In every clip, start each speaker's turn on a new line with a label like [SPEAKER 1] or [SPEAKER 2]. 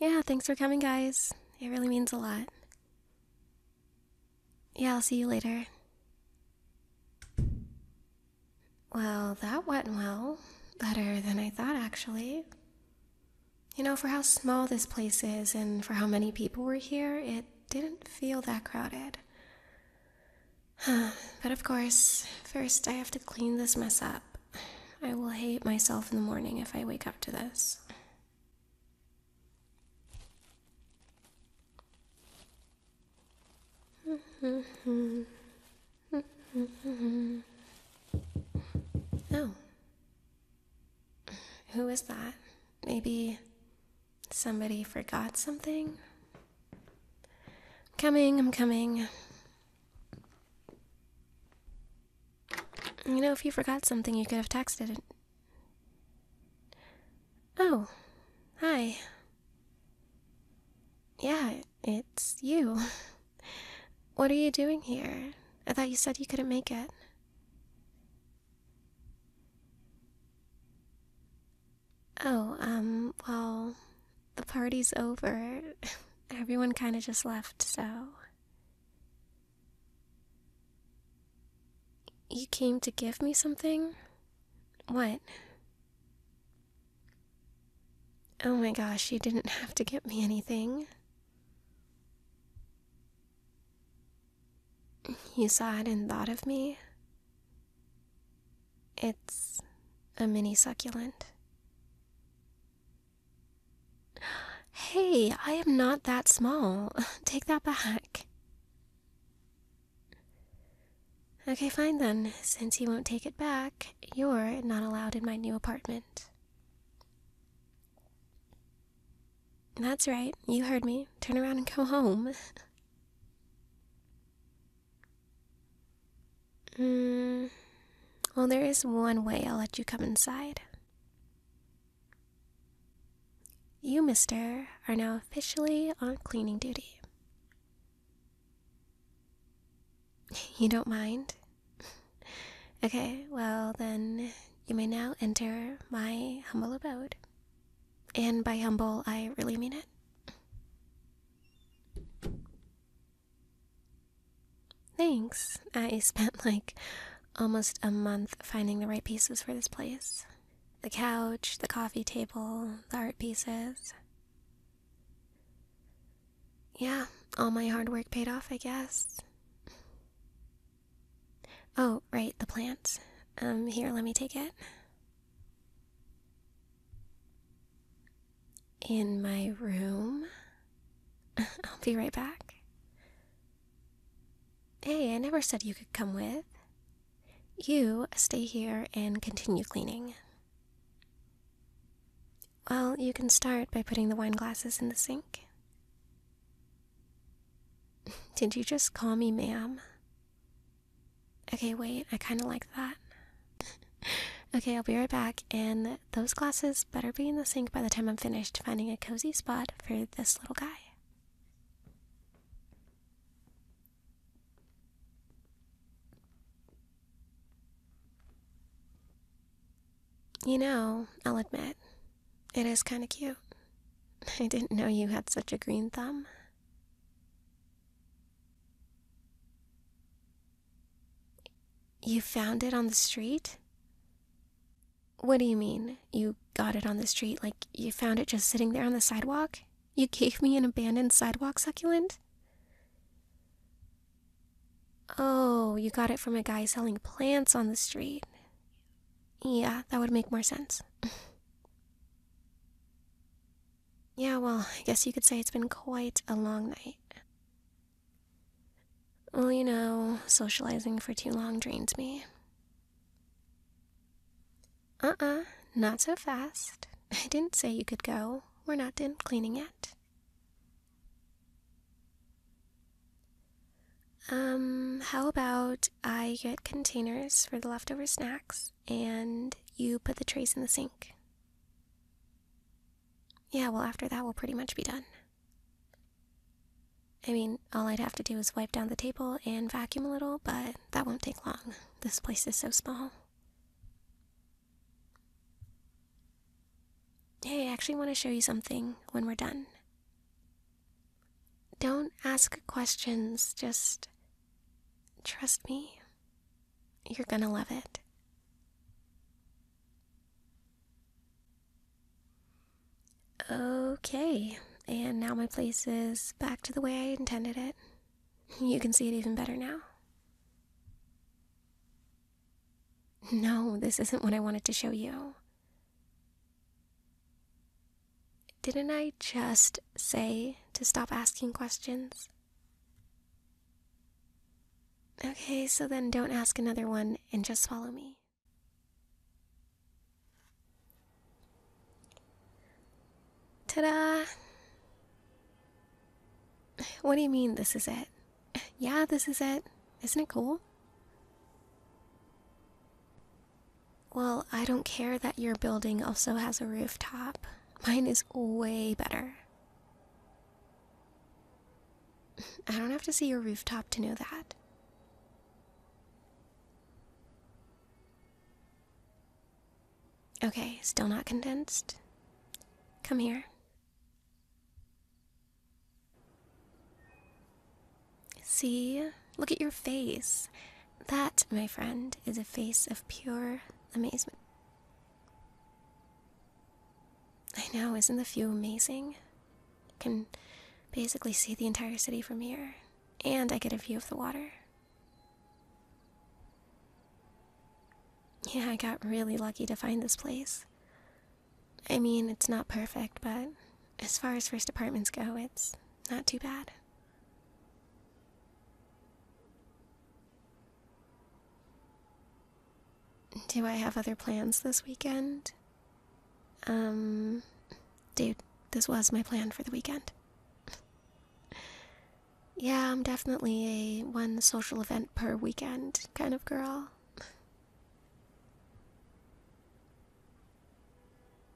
[SPEAKER 1] Yeah, thanks for coming, guys. It really means a lot. Yeah, I'll see you later. Well, that went well. Better than I thought, actually. You know, for how small this place is and for how many people were here, it didn't feel that crowded. but of course, first I have to clean this mess up. I will hate myself in the morning if I wake up to this. oh. Who is that? Maybe somebody forgot something? I'm coming, I'm coming. You know, if you forgot something, you could have texted it. Oh, hi. Yeah, it's you. What are you doing here? I thought you said you couldn't make it. Oh, um, well, the party's over. Everyone kind of just left, so. You came to give me something? What? Oh my gosh, you didn't have to get me anything. You saw it and thought of me? It's a mini succulent. Hey, I am not that small. Take that back. Okay, fine then. Since you won't take it back, you're not allowed in my new apartment. That's right. You heard me. Turn around and go home. Mm. well, there is one way I'll let you come inside. You, mister, are now officially on cleaning duty. You don't mind? okay, well, then you may now enter my humble abode. And by humble, I really mean it. Thanks. I spent like almost a month finding the right pieces for this place the couch, the coffee table, the art pieces. Yeah, all my hard work paid off, I guess. Oh, right, the plant. Um, here, let me take it in my room. I'll be right back. Hey, I never said you could come with. You stay here and continue cleaning. Well, you can start by putting the wine glasses in the sink. Did you just call me ma'am? Okay, wait, I kind of like that. okay, I'll be right back, and those glasses better be in the sink by the time I'm finished finding a cozy spot for this little guy. You know, I'll admit, it is kind of cute. I didn't know you had such a green thumb. You found it on the street? What do you mean? You got it on the street? Like you found it just sitting there on the sidewalk? You gave me an abandoned sidewalk succulent? Oh, you got it from a guy selling plants on the street. Yeah, that would make more sense. yeah, well, I guess you could say it's been quite a long night. Well, you know, socializing for too long drains me. Uh uh not so fast. I didn't say you could go. We're not done cleaning yet. Um, how about I get containers for the leftover snacks and you put the trays in the sink? Yeah, well, after that, we'll pretty much be done. I mean, all I'd have to do is wipe down the table and vacuum a little, but that won't take long. This place is so small. Hey, I actually want to show you something when we're done. Don't ask questions, just trust me. You're gonna love it. Okay, and now my place is back to the way I intended it. You can see it even better now. No, this isn't what I wanted to show you. Didn't I just say to stop asking questions? Okay, so then don't ask another one and just follow me. Ta da! What do you mean this is it? Yeah, this is it. Isn't it cool? Well, I don't care that your building also has a rooftop. Mine is way better. I don't have to see your rooftop to know that. Okay, still not condensed? Come here. See? Look at your face. That, my friend, is a face of pure amazement. I know, isn't the view amazing? You can basically see the entire city from here, and I get a view of the water. Yeah, I got really lucky to find this place. I mean, it's not perfect, but as far as first apartments go, it's not too bad. Do I have other plans this weekend? Um, dude, this was my plan for the weekend. yeah, I'm definitely a one social event per weekend kind of girl.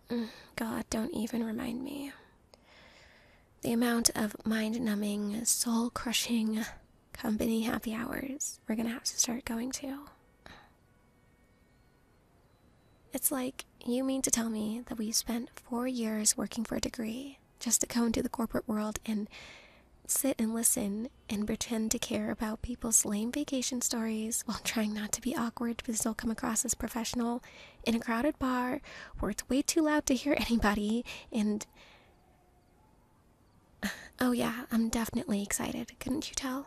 [SPEAKER 1] Mm, God, don't even remind me. The amount of mind numbing, soul crushing company happy hours we're gonna have to start going to. It's like you mean to tell me that we spent four years working for a degree just to go into the corporate world and sit and listen and pretend to care about people's lame vacation stories while trying not to be awkward because but will come across as professional in a crowded bar where it's way too loud to hear anybody and Oh, yeah, I'm definitely excited. Couldn't you tell?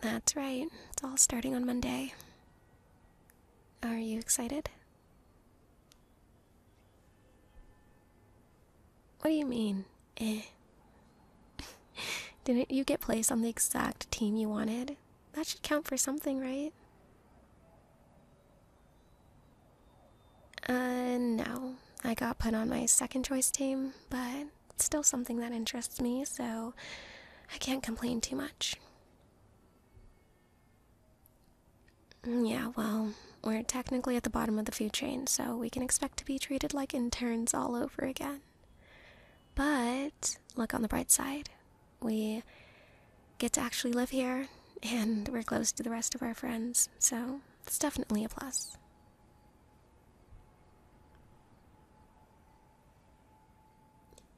[SPEAKER 1] That's right. It's all starting on Monday. Are you excited? What do you mean, eh? Didn't you get placed on the exact team you wanted? That should count for something, right? Uh, no. I got put on my second choice team, but it's still something that interests me, so I can't complain too much. Mm, yeah, well, we're technically at the bottom of the food chain, so we can expect to be treated like interns all over again. But look on the bright side we get to actually live here and we're close to the rest of our friends, so that's definitely a plus.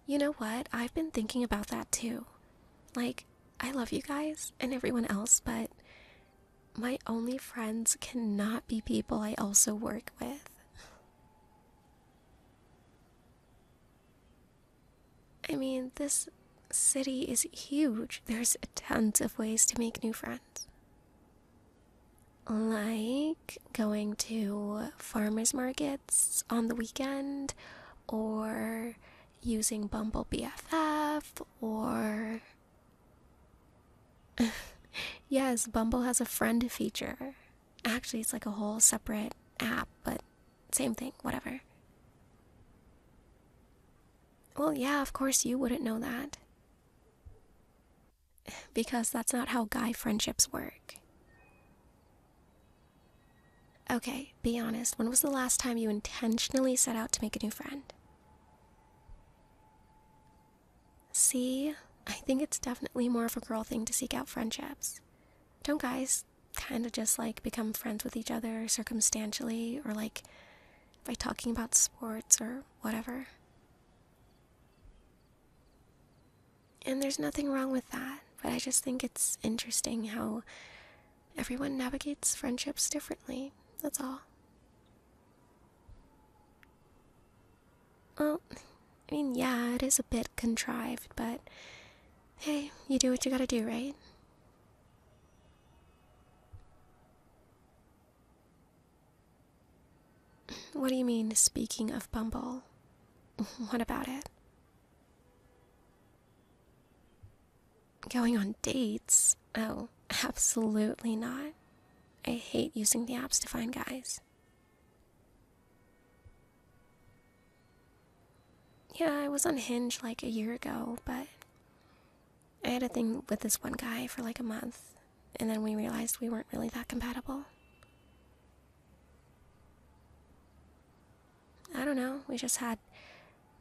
[SPEAKER 1] You know what? I've been thinking about that too. Like, I love you guys and everyone else, but my only friends cannot be people I also work with. I mean, this city is huge. There's tons of ways to make new friends. Like going to farmers markets on the weekend, or using Bumble BFF, or. yes, Bumble has a friend feature. Actually, it's like a whole separate app, but same thing, whatever. Well, yeah, of course you wouldn't know that. Because that's not how guy friendships work. Okay, be honest. When was the last time you intentionally set out to make a new friend? See, I think it's definitely more of a girl thing to seek out friendships. Don't guys kind of just like become friends with each other circumstantially or like by talking about sports or whatever. And there's nothing wrong with that, but I just think it's interesting how everyone navigates friendships differently. That's all. Well, I mean, yeah, it is a bit contrived, but Hey, you do what you gotta do, right? What do you mean, speaking of Bumble? What about it? Going on dates? Oh, absolutely not. I hate using the apps to find guys. Yeah, I was on Hinge like a year ago, but I had a thing with this one guy for like a month, and then we realized we weren't really that compatible. I don't know, we just had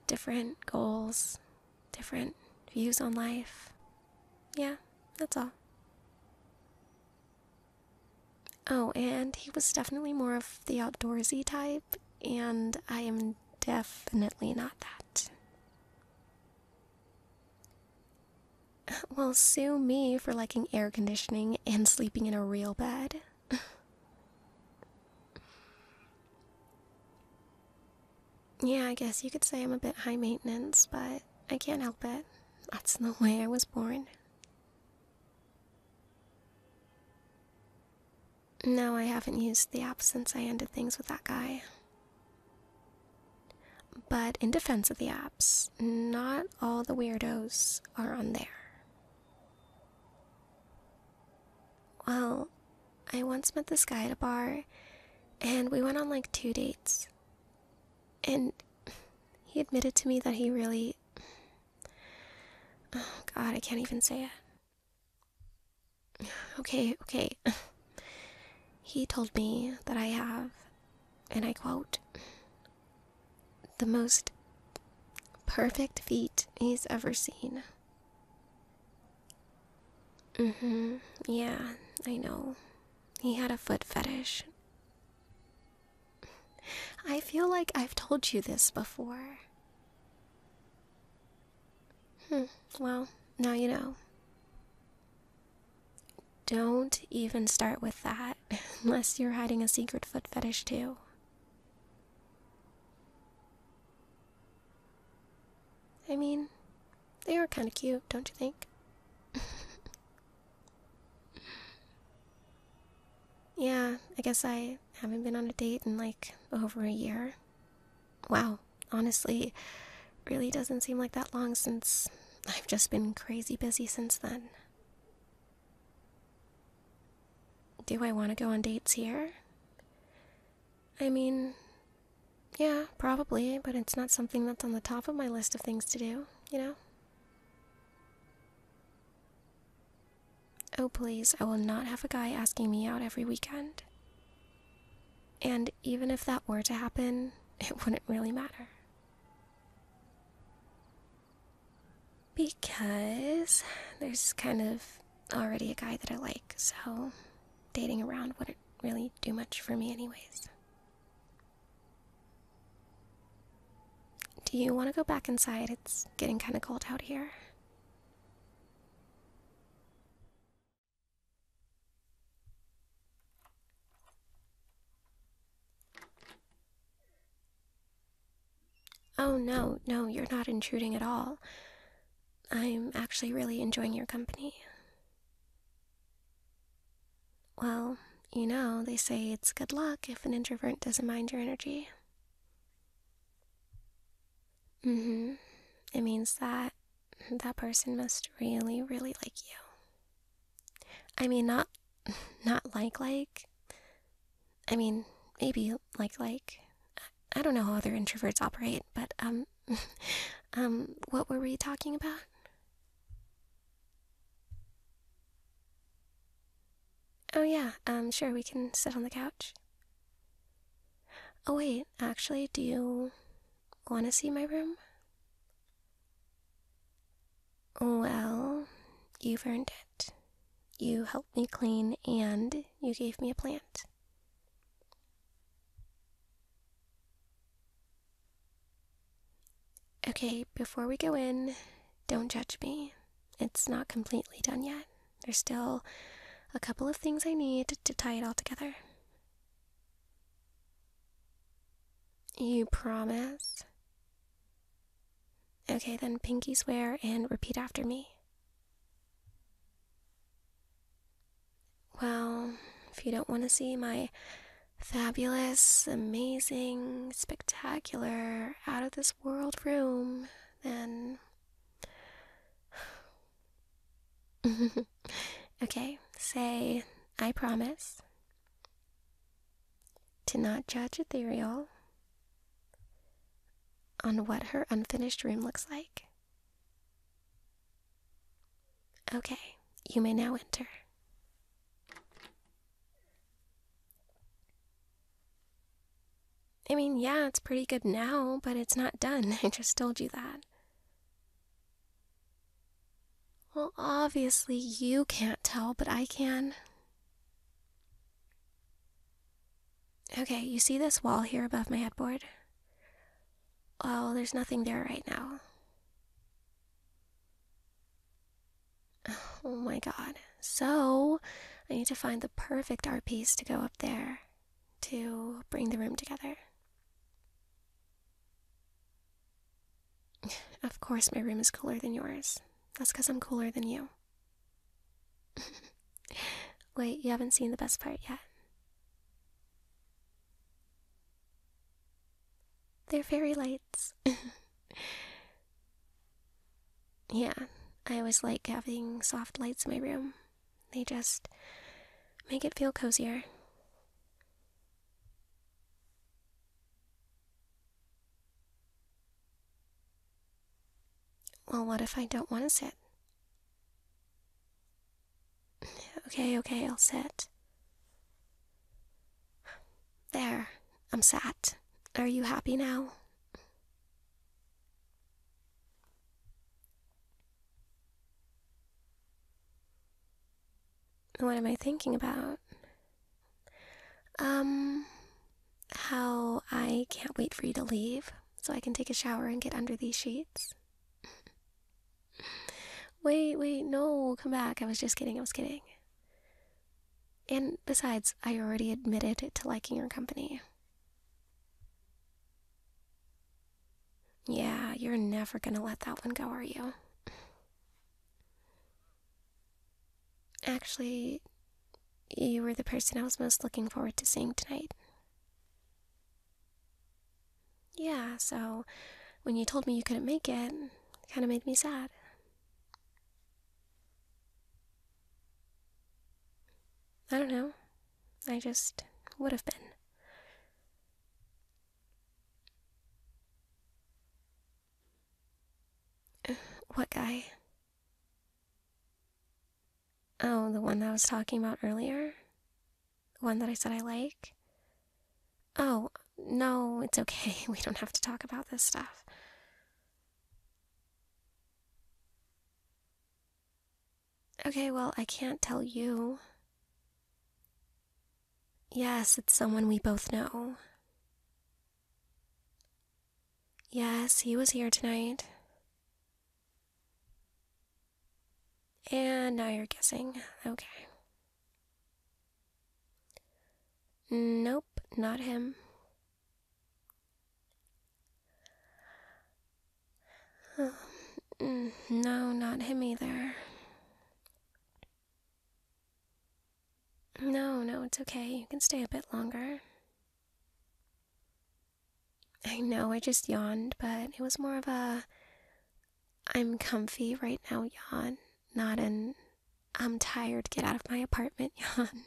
[SPEAKER 1] different goals, different views on life. Yeah, that's all. Oh, and he was definitely more of the outdoorsy type, and I am definitely not that. Well, sue me for liking air conditioning and sleeping in a real bed. yeah, I guess you could say I'm a bit high maintenance, but I can't help it. That's the way I was born. No, I haven't used the app since I ended things with that guy. But in defense of the apps, not all the weirdos are on there. Well, I once met this guy at a bar, and we went on like two dates. And he admitted to me that he really Oh, God, I can't even say it. Okay, okay. He told me that I have, and I quote, the most perfect feet he's ever seen. Mm hmm. Yeah, I know. He had a foot fetish. I feel like I've told you this before. Hmm, well, now you know. Don't even start with that unless you're hiding a secret foot fetish, too. I mean, they are kind of cute, don't you think? Yeah, I guess I haven't been on a date in like over a year. Wow, honestly, really doesn't seem like that long since I've just been crazy busy since then. Do I want to go on dates here? I mean, yeah, probably, but it's not something that's on the top of my list of things to do, you know? Oh, please, I will not have a guy asking me out every weekend. And even if that were to happen, it wouldn't really matter. Because there's kind of already a guy that I like, so dating around wouldn't really do much for me, anyways. Do you want to go back inside? It's getting kind of cold out here. Oh, no, no, you're not intruding at all. I'm actually really enjoying your company. Well, you know, they say it's good luck if an introvert doesn't mind your energy. Mm hmm. It means that that person must really, really like you. I mean, not, not like, like. I mean, maybe like, like. I don't know how other introverts operate, but, um, um, what were we talking about? Oh, yeah, um, sure, we can sit on the couch. Oh, wait, actually, do you want to see my room? Well, you've earned it. You helped me clean and you gave me a plant. Okay, before we go in, don't judge me. It's not completely done yet. There's still a couple of things I need to tie it all together. You promise? Okay, then pinky swear and repeat after me. Well, if you don't want to see my fabulous, amazing, spectacular, out of this world room Then, okay, say, I promise to not judge Ethereal on what her unfinished room looks like. Okay, you may now enter. I mean, yeah, it's pretty good now, but it's not done. I just told you that. Well, obviously, you can't tell, but I can. Okay, you see this wall here above my headboard? Oh, there's nothing there right now. Oh my god. So, I need to find the perfect art piece to go up there to bring the room together. Of course, my room is cooler than yours. That's because I'm cooler than you. Wait, you haven't seen the best part yet. They're fairy lights. Yeah, I always like having soft lights in my room. They just make it feel cozier. Well, what if I don't want to sit? Okay, okay, I'll sit. There, I'm sat. Are you happy now? What am I thinking about? Um, how I can't wait for you to leave so I can take a shower and get under these sheets. wait, wait, no, come back. I was just kidding, I was kidding. And besides, I already admitted to liking your company. Yeah, you're never gonna let that one go, are you? Actually, you were the person I was most looking forward to seeing tonight. Yeah, so when you told me you couldn't make it, it kind of made me sad. I don't know. I just would have been. What guy? Oh, the one that I was talking about earlier? The one that I said I like? Oh, no, it's okay. We don't have to talk about this stuff. Okay, well, I can't tell you. Yes, it's someone we both know. Yes, he was here tonight. And now you're guessing. Okay. Nope, not him. Um, no, not him either. No, no, it's okay. You can stay a bit longer. I know I just yawned, but it was more of a I'm comfy right now yawn, not an I'm tired. Get out of my apartment, Jan.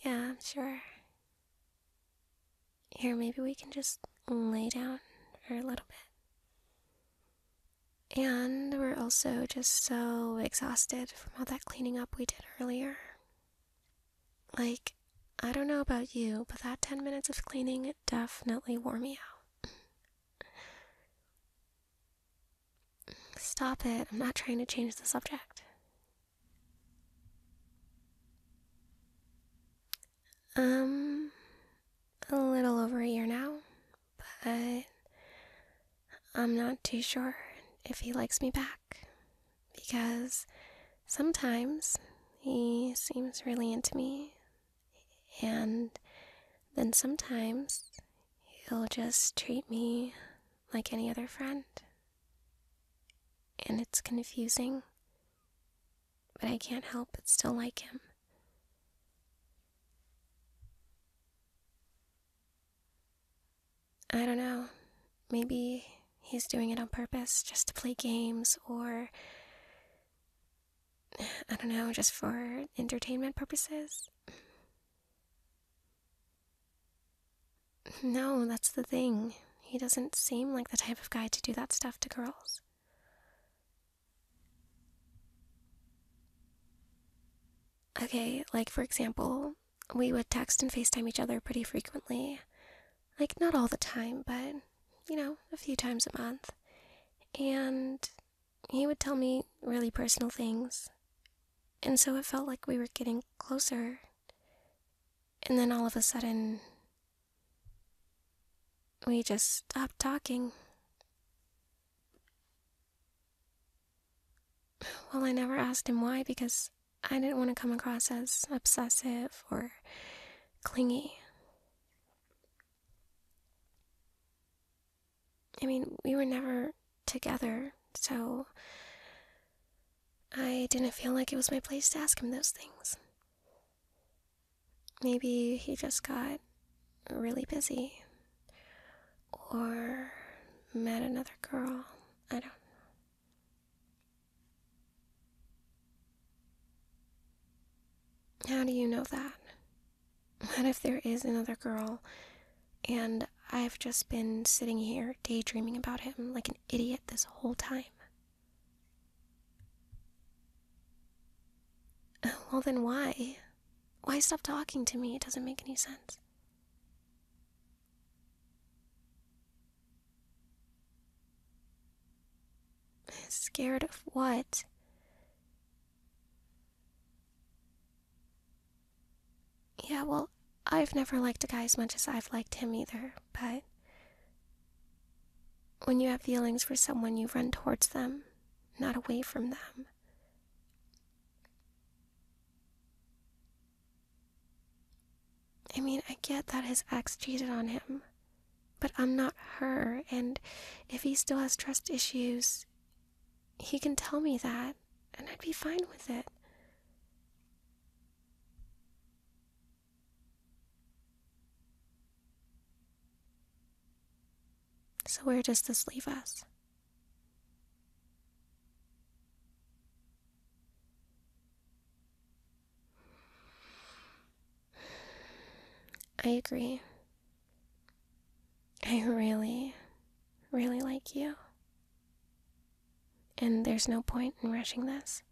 [SPEAKER 1] Yeah, I'm sure. Here, maybe we can just lay down for a little bit. And we're also just so exhausted from all that cleaning up we did earlier. Like, I don't know about you, but that 10 minutes of cleaning definitely wore me out. Stop it. I'm not trying to change the subject. Um, a little over a year now, but I'm not too sure if he likes me back because sometimes he seems really into me, and then sometimes he'll just treat me like any other friend. And it's confusing, but I can't help but still like him. I don't know. Maybe he's doing it on purpose just to play games or I don't know, just for entertainment purposes? No, that's the thing. He doesn't seem like the type of guy to do that stuff to girls. Okay, like for example, we would text and FaceTime each other pretty frequently. Like, not all the time, but, you know, a few times a month. And he would tell me really personal things, and so it felt like we were getting closer. And then all of a sudden, we just stopped talking. Well, I never asked him why because I didn't want to come across as obsessive or clingy. I mean, we were never together, so I didn't feel like it was my place to ask him those things. Maybe he just got really busy or met another girl. I don't know. How do you know that? What if there is another girl and I've just been sitting here daydreaming about him like an idiot this whole time? Well, then why? Why stop talking to me? It doesn't make any sense. Scared of what? Yeah, well, I've never liked a guy as much as I've liked him either, but when you have feelings for someone, you run towards them, not away from them. I mean, I get that his ex cheated on him, but I'm not her, and if he still has trust issues, he can tell me that, and I'd be fine with it. So, where does this leave us? I agree. I really, really like you. And there's no point in rushing this.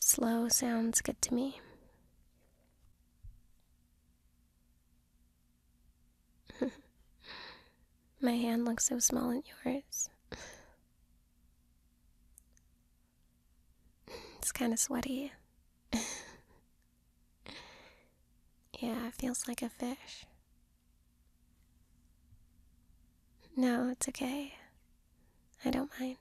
[SPEAKER 1] Slow sounds good to me. My hand looks so small in yours. It's kind of sweaty. yeah, it feels like a fish. No, it's okay. I don't mind.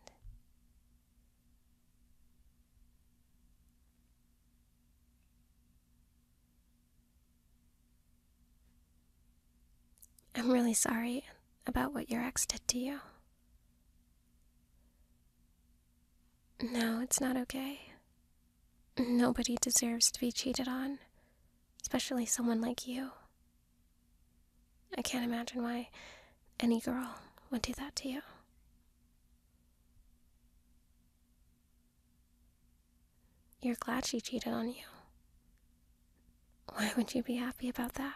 [SPEAKER 1] I'm really sorry about what your ex did to you. No, it's not okay. Nobody deserves to be cheated on, especially someone like you. I can't imagine why any girl would do that to you. You're glad she cheated on you. Why would you be happy about that?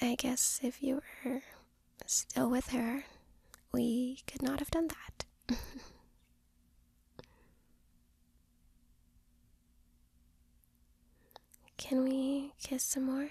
[SPEAKER 1] I guess if you were still with her, we could not have done that. Can we kiss some more?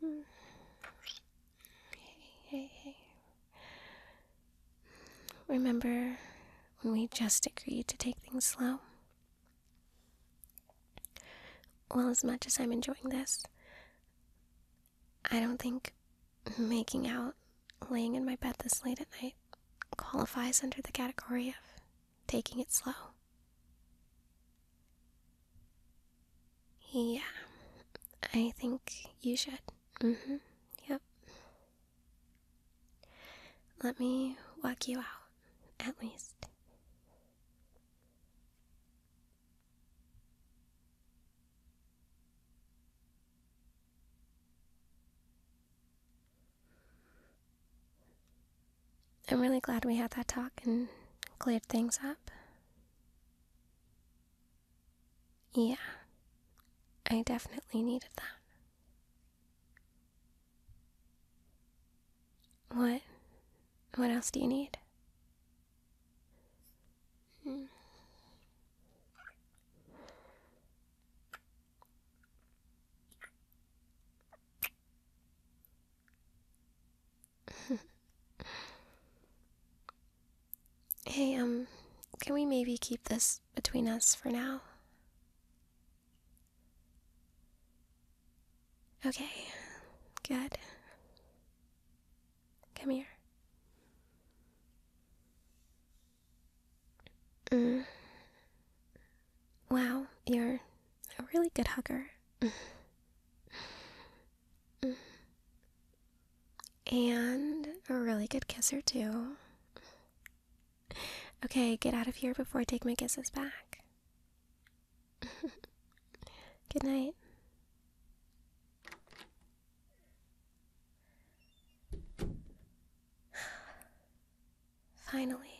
[SPEAKER 1] Hey, hey, hey. Remember when we just agreed to take things slow? Well, as much as I'm enjoying this, I don't think making out, laying in my bed this late at night, qualifies under the category of taking it slow. Yeah, I think you should. Mm hmm. Yep. Let me walk you out, at least. I'm really glad we had that talk and cleared things up. Yeah, I definitely needed that. What? What else do you need? Hmm. hey, um, can we maybe keep this between us for now? Okay, good. Come here. Mm. Wow, you're a really good hugger. and a really good kisser, too. Okay, get out of here before I take my kisses back. good night. Finally.